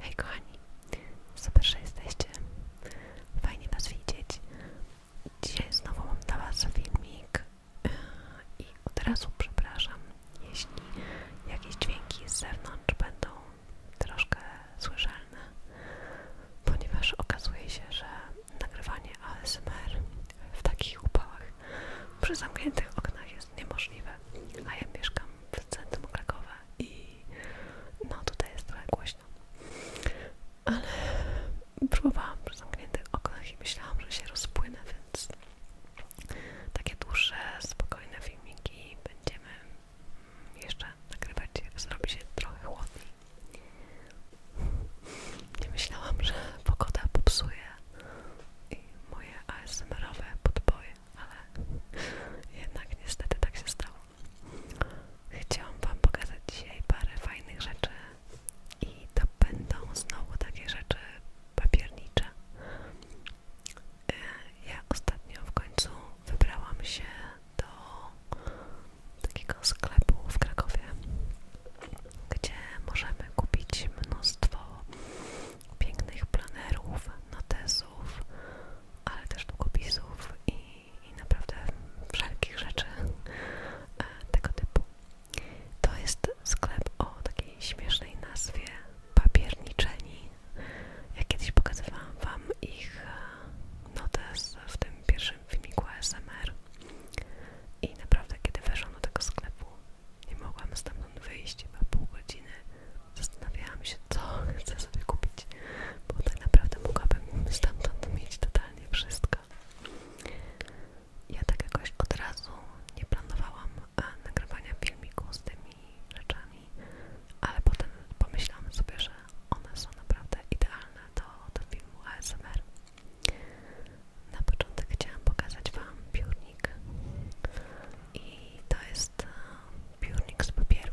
Hej kochani, super, że jesteście. Fajnie Was widzieć. Dzisiaj znowu mam dla Was filmik i od razu przepraszam, jeśli jakieś dźwięki z zewnątrz będą troszkę słyszalne, ponieważ okazuje się, że nagrywanie ASMR w takich upałach przy zamkniętych oknach jest niemożliwe, a ja mieszkam w centrum Krakowa i no tutaj jest trochę głośno, ale próbowałam przy zamkniętych oknach i myślałam, że się rozpłynę, więc takie dłuższe, spokojne filmiki będziemy mm, jeszcze nagrywać, jak zrobi się trochę chłodniej. Nie myślałam, że pogoda popsuje i moje ASMR-owe ale jednak niestety tak się stało. Chciałam Wam pokazać dzisiaj parę fajnych rzeczy i to będą znowu takie rzeczy papiernicze. E, ja ostatnio w końcu wybrałam się do takiego sklepu w Krakowie, gdzie możemy kupić mnóstwo pięknych planerów, notesów, ale też długopisów i, naprawdę wszelkich rzeczy e, tego typu. To jest sklep o takiej śmiesznej nazwie papierniczeni. Ja kiedyś pokazywałam Wam ich e, notes w tym pierwszym filmiku ASMR i naprawdę kiedy weszłam do tego sklepu nie mogłam stamtąd wyjść, chyba pół godziny Zastanawiałam się, co chcę sobie kupić, bo tak naprawdę mogłabym stamtąd mieć totalnie wszystko. Ja tak od razu nie planowałam e, nagrywania filmiku z tymi rzeczami, ale potem pomyślałam sobie, że one są naprawdę idealne do, do filmu ASMR. Na początek chciałam pokazać Wam piórnik i to jest e, piórnik papieru.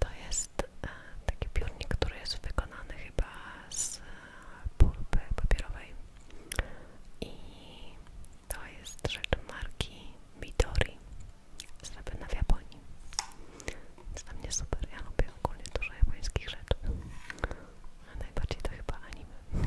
To jest e, taki piórnik, który jest wykonany chyba z e, pulpy papierowej i to jest rzecz marki Midori zrobiona w Japonii. Jest dla mnie super, ja lubię ogólnie dużo japońskich rzeczy, a najbardziej to chyba anime.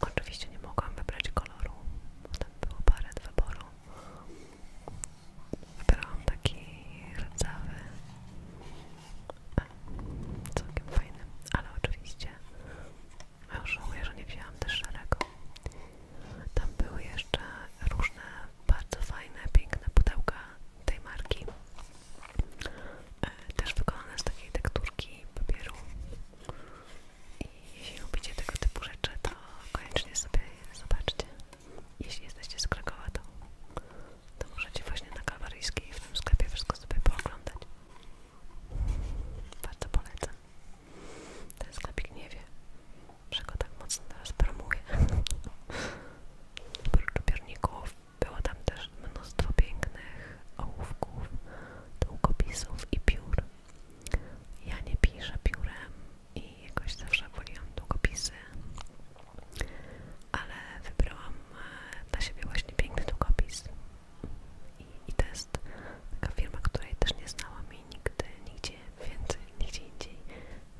Oczywiście nie mogłam wybrać koloru, tam było parę do wyboru. Wybrałam taki rdzawy, całkiem fajny, ale oczywiście no już żałuję, że nie wzięłam też szarego. Tam były jeszcze różne bardzo fajne, piękne pudełka tej marki. E, też wykonane z takiej tekturki papieru i jeśli lubicie tego typu rzeczy, to koniecznie sobie zobaczcie. Jeśli jesteście z Krakowa, to, możecie właśnie na Kalwaryjskiej w tym sklepie wszystko sobie pooglądać. Bardzo polecam. Ten sklepik nie wie, że tak mocno teraz promuje. Oprócz pierników było tam też mnóstwo pięknych ołówków, długopisów i piór. Ja nie piszę piórem i jakoś zawsze woliłam długopisy, ale wybrałam e, dla siebie właśnie piękny długopis. I, i to jest taka firma, której też nie znałam i nigdy, nigdzie więcej, nigdzie indziej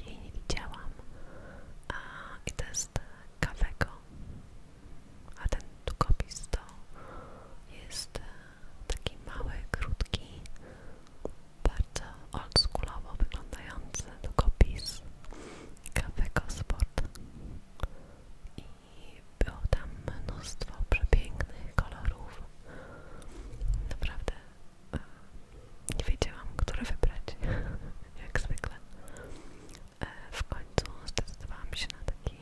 jej nie widziałam. A, I to jest Kawego a ten długopis to jest e, taki mały, krótki, bardzo oldschoolowo wyglądający długopis Cafego Sport i było tam mnóstwo przepięknych kolorów naprawdę e, nie wiedziałam, które wybrać jak zwykle e, w końcu zdecydowałam się na taki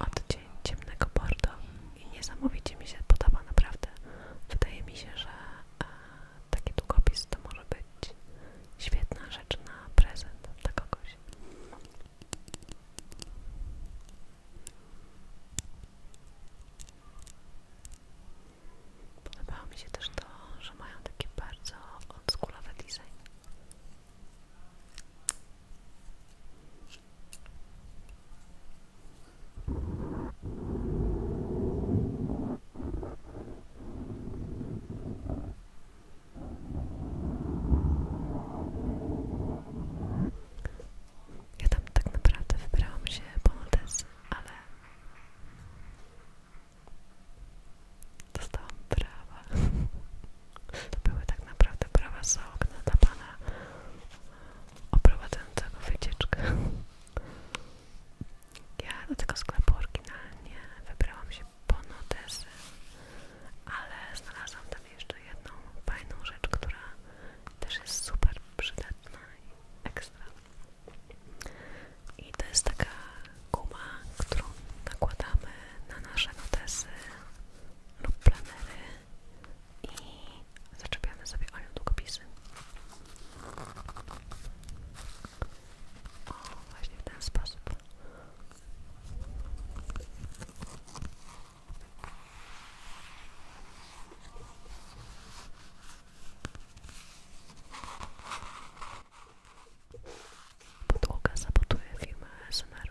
od ciemnego bordo i niesamowicie mi się podoba, naprawdę. Wydaje mi się, że e, taki długopis to może być świetna rzecz na prezent dla kogoś. Podobało mi się też to, że mają taki bardzo oldschoolowy design. Ja tam tak naprawdę wybrałam się po Maltesy, ale dostałam prawa To były tak naprawdę prawa za okna dla pana oprowadzającego wycieczkę. Ja do tego sklepu oryginalnie wybrałam się po notesy, ale znalazłam tam jeszcze jedną fajną rzecz, która też jest super przydatna i ekstra. I to jest taka guma, którą nakładamy na nasze notesy lub planery i zaczepiamy sobie o nią długopisy. O, właśnie ten sposób. Podłoga sabotuje firmę SMR.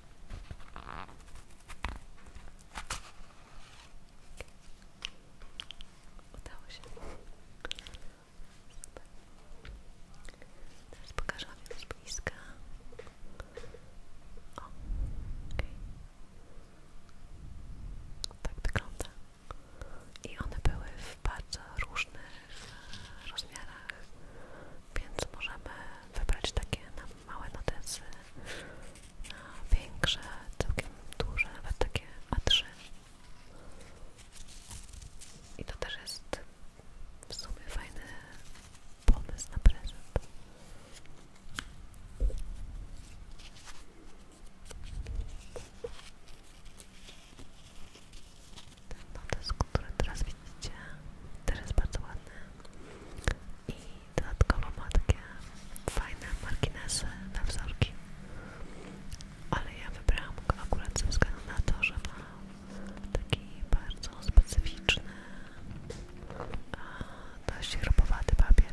Udało się. Super. z bliska. Tak wygląda. I one były w bardzo różnych w rozmiarach, więc możemy wybrać takie małe notesy, większe, całkiem duże, nawet takie A3. I to też jest w sumie fajny pomysł na prezent ten notes, który teraz widzicie, też jest bardzo ładny i dodatkowo ma takie fajne marginesy na wzorki ale ja wybrałam go akurat ze względu na to, że ma taki bardzo specyficzny dość robowaty papier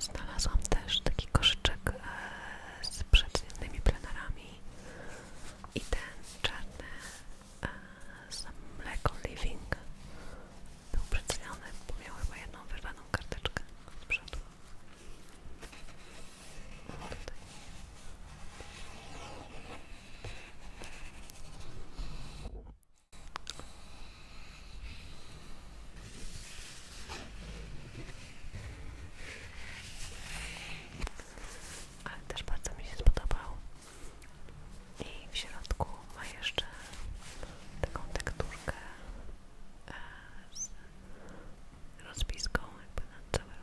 Znalazłam też taki koszyczek e, z przedziennymi plenerami i ten czarny e, z Mleko Living był przedstawiony, bo miał chyba jedną wyrwaną karteczkę z przodu. Tutaj. Ale też bardzo mi się spodobał. I w środku ma jeszcze taką tekturkę e, z rozpiską jakby na całym.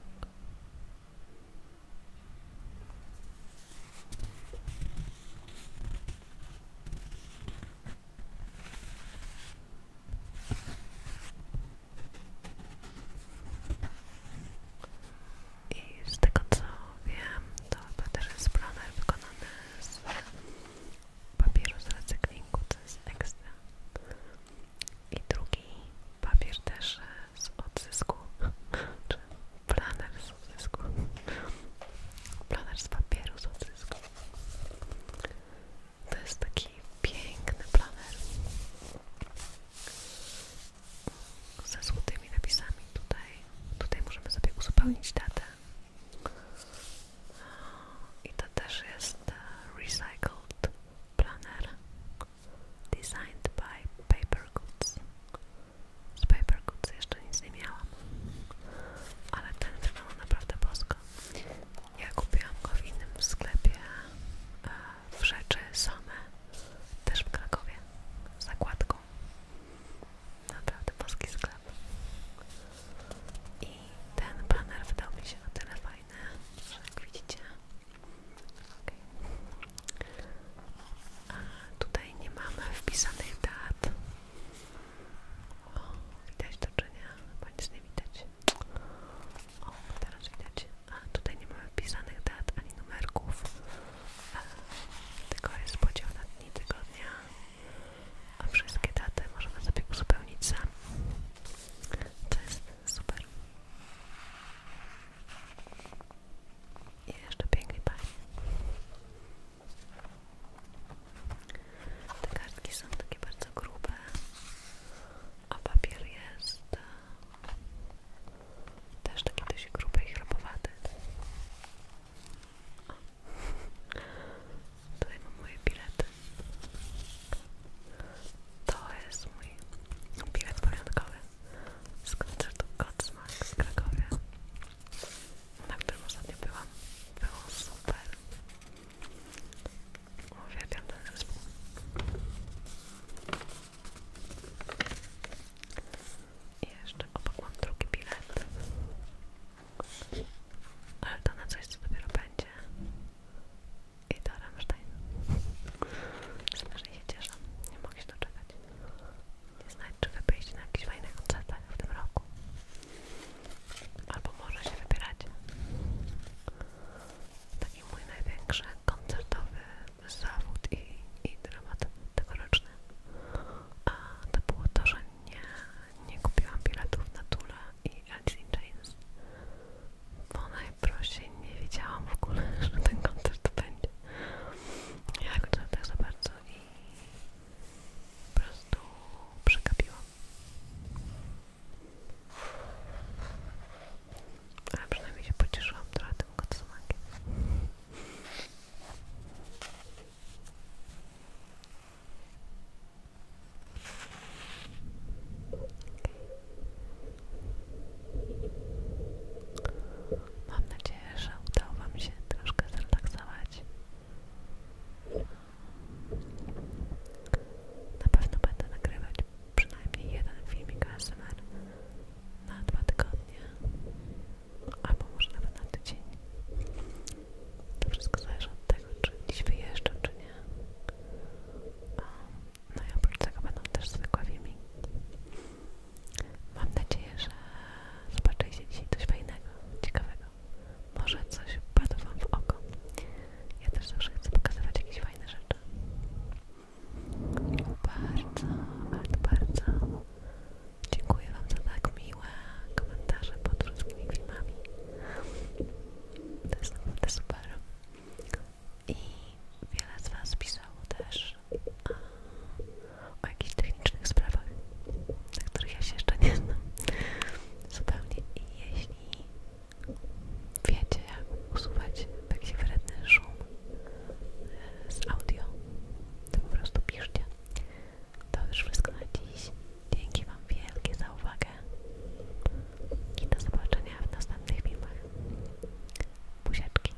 I z tego co wiem, to jest planer wykonany z papieru z recyklingu, co jest ekstra. I drugi papier też e, z odzysku, czy planer z Planer z papieru z odzysku. To jest taki piękny planer ze złotymi napisami tutaj. Tutaj możemy sobie uzupełnić datę. I to też jest e, recycled planer, designed by Paper Goods z Paper Goods jeszcze nic nie miałam, ale ten wygląda naprawdę bosko. Ja kupiłam go w innym sklepie e, w rzeczy same, też w Krakowie, z zakładką. Naprawdę boski sklep. I ten banner wydał mi się na tyle fajny, jak widzicie. Okay tutaj nie mamy wpisanych dat. O, widać do czynienia, bo nic nie widać. O, teraz widać. A tutaj nie mamy wpisanych dat ani numerków. E, tylko jest podział na dni tygodnia. A wszystkie daty możemy sobie uzupełnić sam. To jest super. I jeszcze piękny pani. Te kartki są takie bardzo grube, a papier jest e, też taki dość gruby i chropowaty. O. Tutaj mam moje bilety. To jest mój bilet pamiątkowy z koncertu Godsmack z Krakowie na którym ostatnio byłam. Było super. Uwielbiam ten zespół. I jeszcze obok mam drugi bilet. Ale to na coś, co dopiero będzie. I do Rammstein. Strasznie się cieszę. Nie mogę się doczekać. Nie znam czy wyjść na jakiś fajny koncert w tym roku. Albo może się wybierać. Taki mój największy koncertowy zawód i, i dramat tegoroczny. A to było to, że nie, nie kupiłam biletów na Tula i Alice in Chains. Bo najprościej nie wiedziałam w ogóle, że ten koncert będzie. Ja go tak za bardzo i po prostu przegapiłam. Ale przynajmniej się pocieszyłam trochę tym kocomakiem. Mam nadzieję, nadzieję, że udało Wam się troszkę zrelaksować. Na pewno będę nagrywać przynajmniej jeden filmik ASMR na dwa tygodnie, albo może nawet na tydzień. To wszystko zależy od tego, czy dziś wyjeżdżam, czy nie. No i oprócz tego będą też zwykłe filmiki. Mam nadzieję, że zobaczyliście dzisiaj coś fajnego, ciekawego. Może coś padło Wam w oko. Ja też zawsze chcę pokazywać jakieś fajne rzeczy. Bardzo, bardzo dziękuję Wam za tak miłe komentarze pod wszystkimi filmami. To jest naprawdę super. I wiele z Was pisało też o jakichś technicznych sprawach, na których ja się jeszcze nie znam zupełnie i jeśli wiecie jak usuwać taki wredny szum e, z audio, to po prostu piszcie. To już wszystko na dziś. Dzięki Wam wielkie za uwagę i do zobaczenia w następnych filmach. Buziaczki.